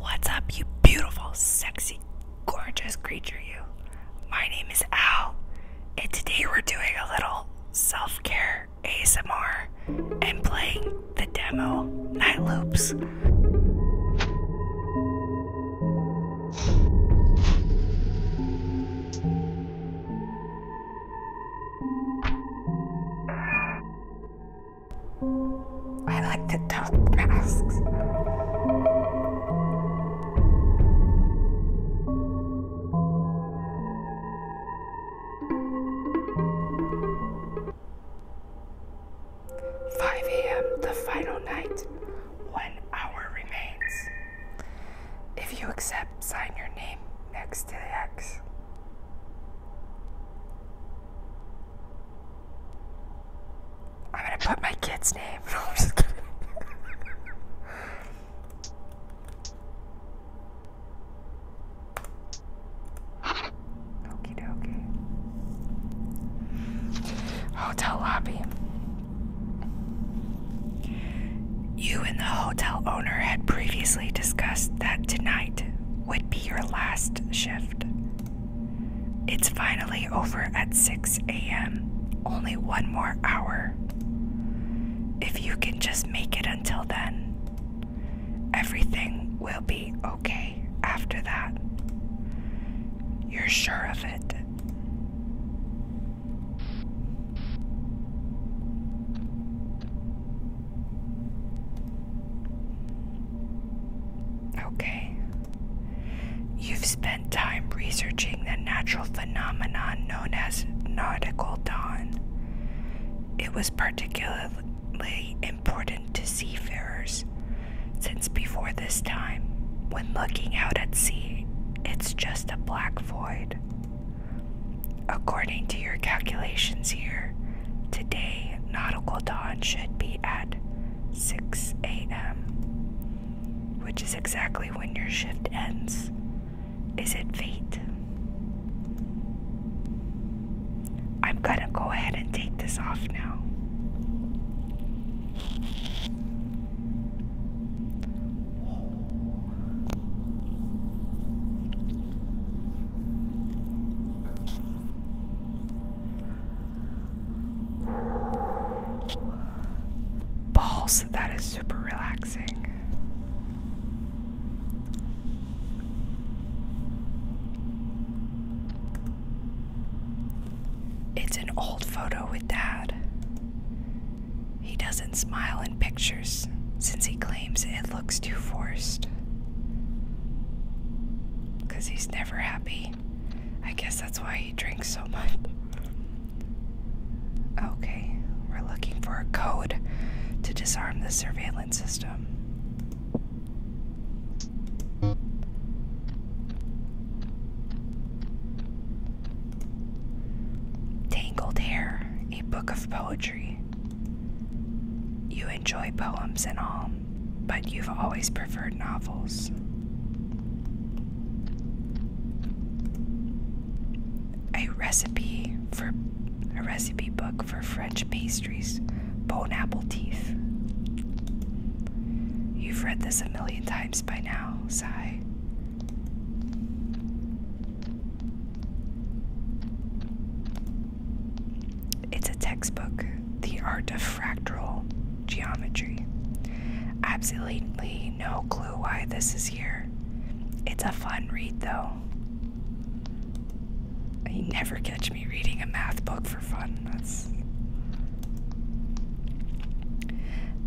What's up, you beautiful, sexy, gorgeous creature, you? My name is Al, and today we're doing a little self care ASMR and playing the demo Night Loops I like the dark masks. 5 a.m. the final night. One hour remains. If you accept, sign your name next to the X. I'm gonna put my kid's name. Okie dokie. Hotel lobby. You and the hotel owner had previously discussed that tonight would be your last shift. It's finally over at 6 a.m. Only one more hour. If you can just make it until then, everything will be okay after that. You're sure of it. Okay. You've spent time researching the natural phenomenon known as nautical dawn. It was particularly important to seafarers, since before this time, when looking out at sea, it's just a black void. According to your calculations here, today nautical dawn should be at 6 a.m., which is exactly when your shift ends. Is it fate? I'm gonna go ahead and take this off now. Balls, that is super relaxing. It's an old photo with Dad. He doesn't smile in pictures since he claims it looks too forced. Because he's never happy. I guess that's why he drinks so much. Okay, we're looking for a code to disarm the surveillance system. Tangled Hair, a book of poetry. You enjoy poems and all, but you've always preferred novels. A recipe for a recipe book for French pastries, bone apple teeth. You've read this a million times by now, sigh. It's a textbook, The Art of Fractal Geometry. Absolutely no clue why this is here. It's a fun read, though. You never catch me reading a math book for fun. That's.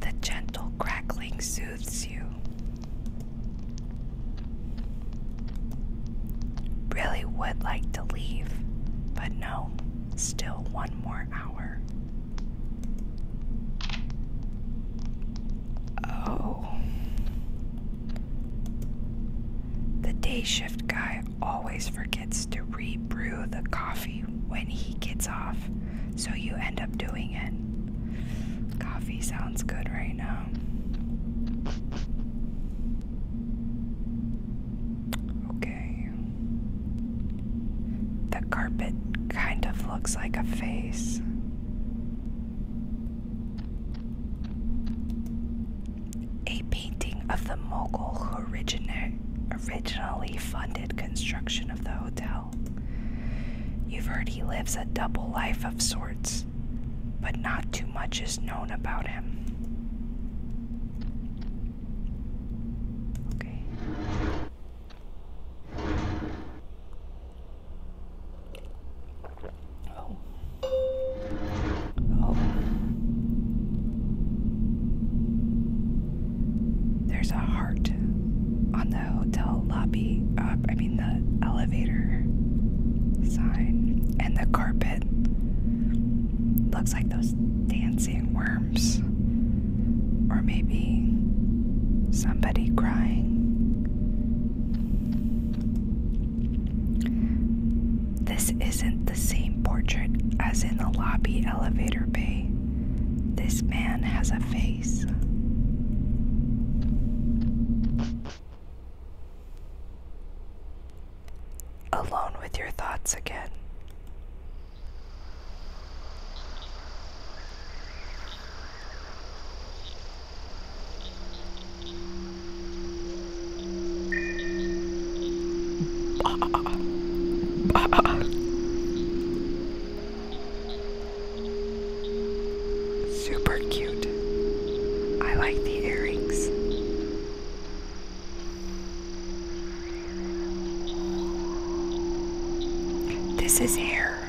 The gentle crackling soothes you. Really would like to leave, but no, still one more hour. Oh. The day shift guy always forgets to rebrew the coffee when he gets off, so you end up doing it. Coffee sounds good right now. Okay. The carpet kind of looks like a face. A painting of the mogul who originally funded construction of the hotel. You've heard he lives a double life of sorts, but not too much is known about him. Okay. Oh. Oh. There's a heart on the hotel lobby, Up, I mean, the elevator sign, and the carpet looks like those dancing worms, or maybe somebody crying. This isn't the same portrait as in the lobby elevator bay. This man has a face. Alone with your thoughts again. Super cute. I like the earrings. This is hair.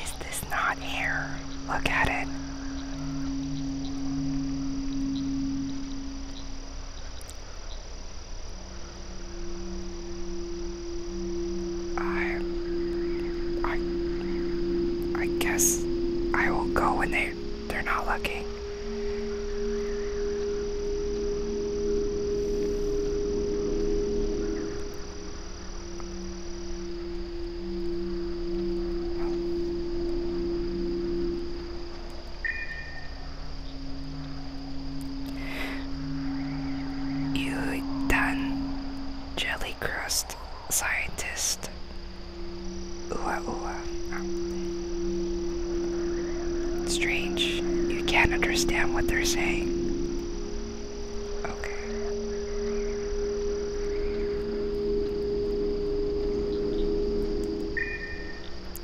Is this not hair? Look at it. I, I, I guess I will go when they they're not looking. You done jelly crust scientist. Ooh, ooh. Strange. You can't understand what they're saying. Okay.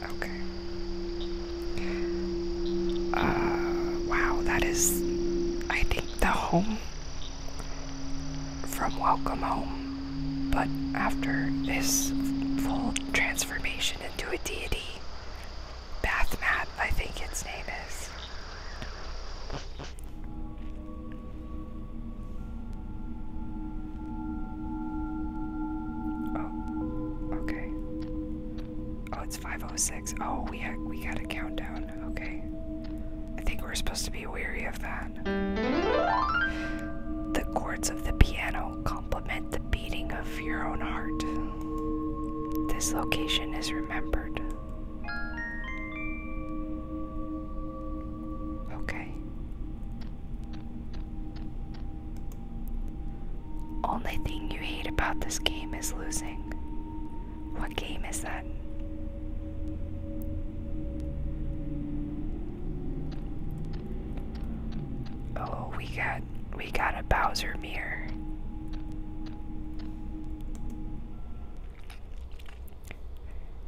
Okay. Uh, wow, that is, I think, the home from Welcome Home. But after this full transformation into a deity, bath mat, I think its name is. Oh, okay. Oh, it's 506. Oh, we we got a countdown. Okay. I think we're supposed to be weary of that. The chords of the piano complement the beating of your own heart. This location is remembered. Okay. Only thing you hate about this game is losing. What game is that? Oh, we got we got a Bowser mirror.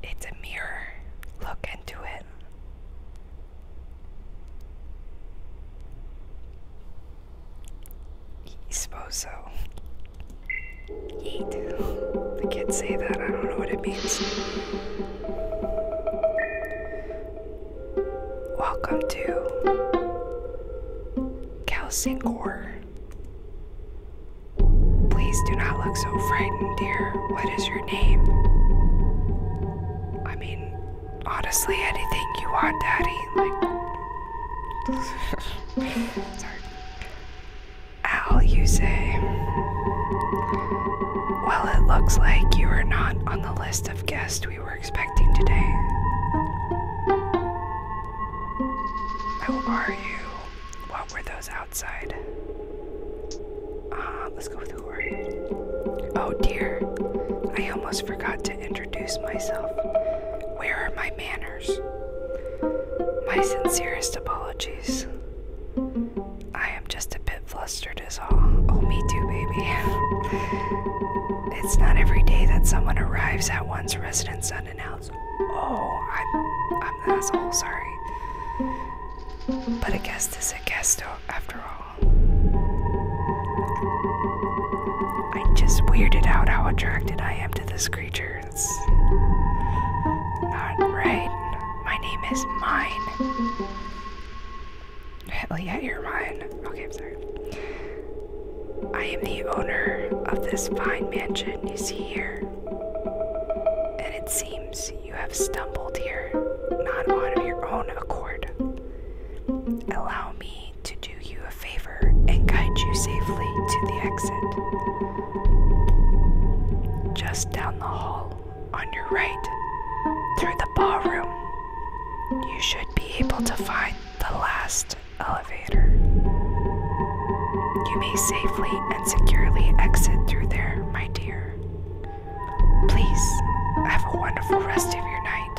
It's a mirror. Look into it. I suppose so. The kids say that. I don't know what it means. Welcome to Kalsingor. Please do not look so frightened, dear. What is your name? I mean, honestly, anything you want, Daddy. Like, sorry. Al, you say. Well, it looks like you are not on the list of guests guest we were expecting today. How are you? What were those outside? Ah, let's go with who are you? Oh dear, I almost forgot to introduce myself. Where are my manners? My sincerest apologies. I am just a bit flustered, as all. Oh, me too, baby. it's not every day that someone arrives at one's residence unannounced. Oh, I'm, i asshole, sorry. But a guest is a guest oh, after all. i just weirded out how attracted I am to this creature. It's not right. My name is Mine yeah, you're mine. Okay, I'm sorry. I am the owner of this fine mansion you see here. And it seems you have stumbled here, not on your own accord. Allow me to do you a favor and guide you safely to the exit. Just down the hall, on your right, through the ballroom, you should be able to find the last elevator. You may safely and securely exit through there, my dear. Please have a wonderful rest of your night.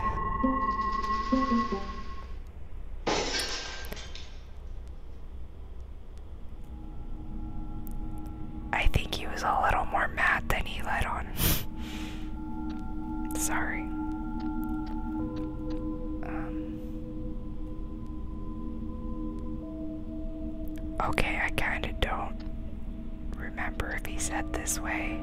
I think he was a little more mad than he let on. Sorry. Um, okay, I kind of don't remember if he said this way.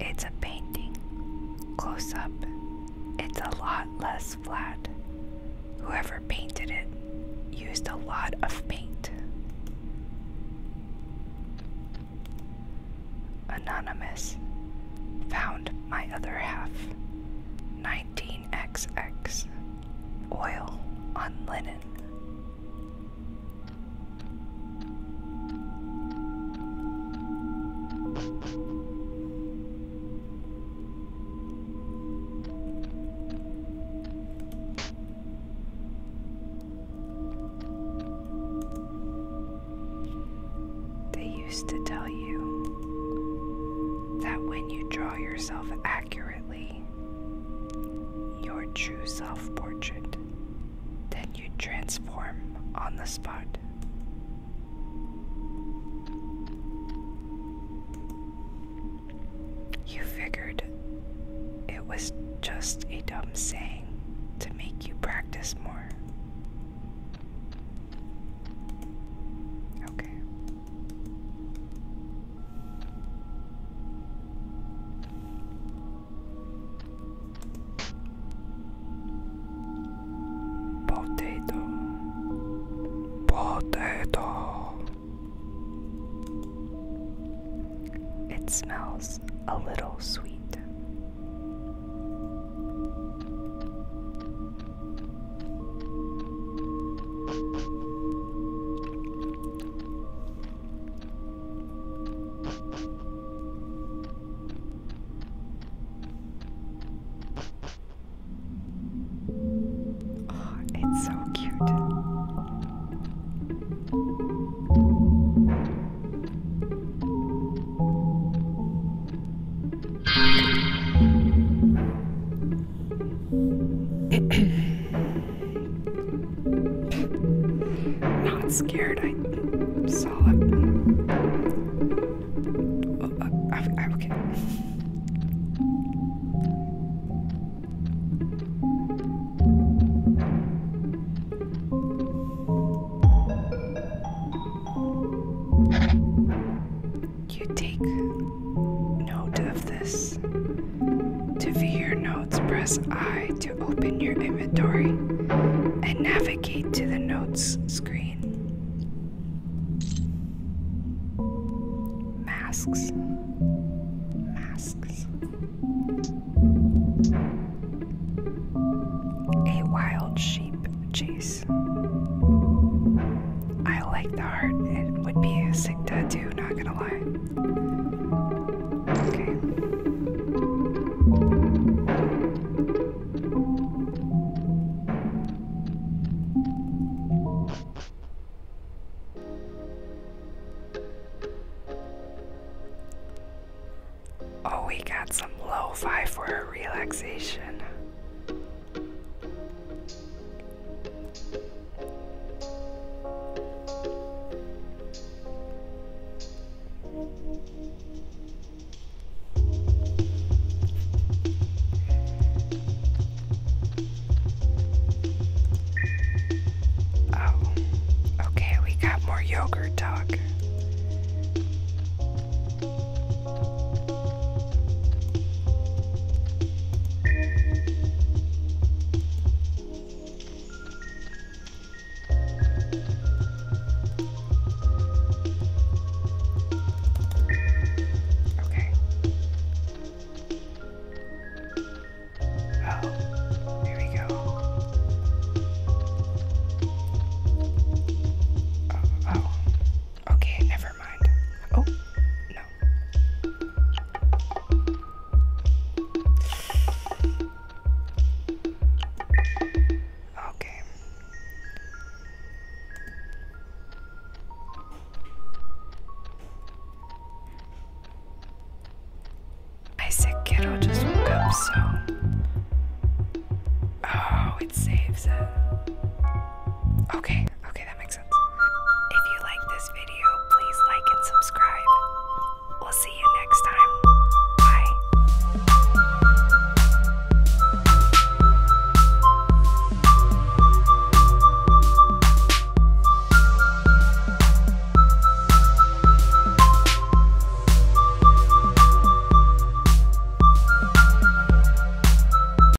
It's a painting. Close up. It's a lot less flat. Whoever painted it used a lot of paint. Anonymous. Found my other half. 19xx. Oil on linen. They used to tell you that when you draw yourself accurately, your true self portrait. Then you transform on the spot. You figured it was just a dumb saying to make you practice more. Okay. Potato, potato. It smells a little sweet. Oh, it's so cute. Not scared. I saw it. I, uh, uh, I, okay. You take note of this. To view your notes, press I to open your inventory and navigate to the notes screen. Masks. Masks. A wild sheep chase. I like the heart, it would be a sick tattoo you, not gonna lie. Oh, we got some lo for relaxation. Oh, okay, we got more yogurt talk. Okay. Oh, here we go. Oh, oh. Okay, oh, never mind. Oh, no. Okay. I said kiddo just woke up, so oh, it saves it. Okay, okay, that makes if you like this video, please like and subscribe. We'll see you next time. Bye.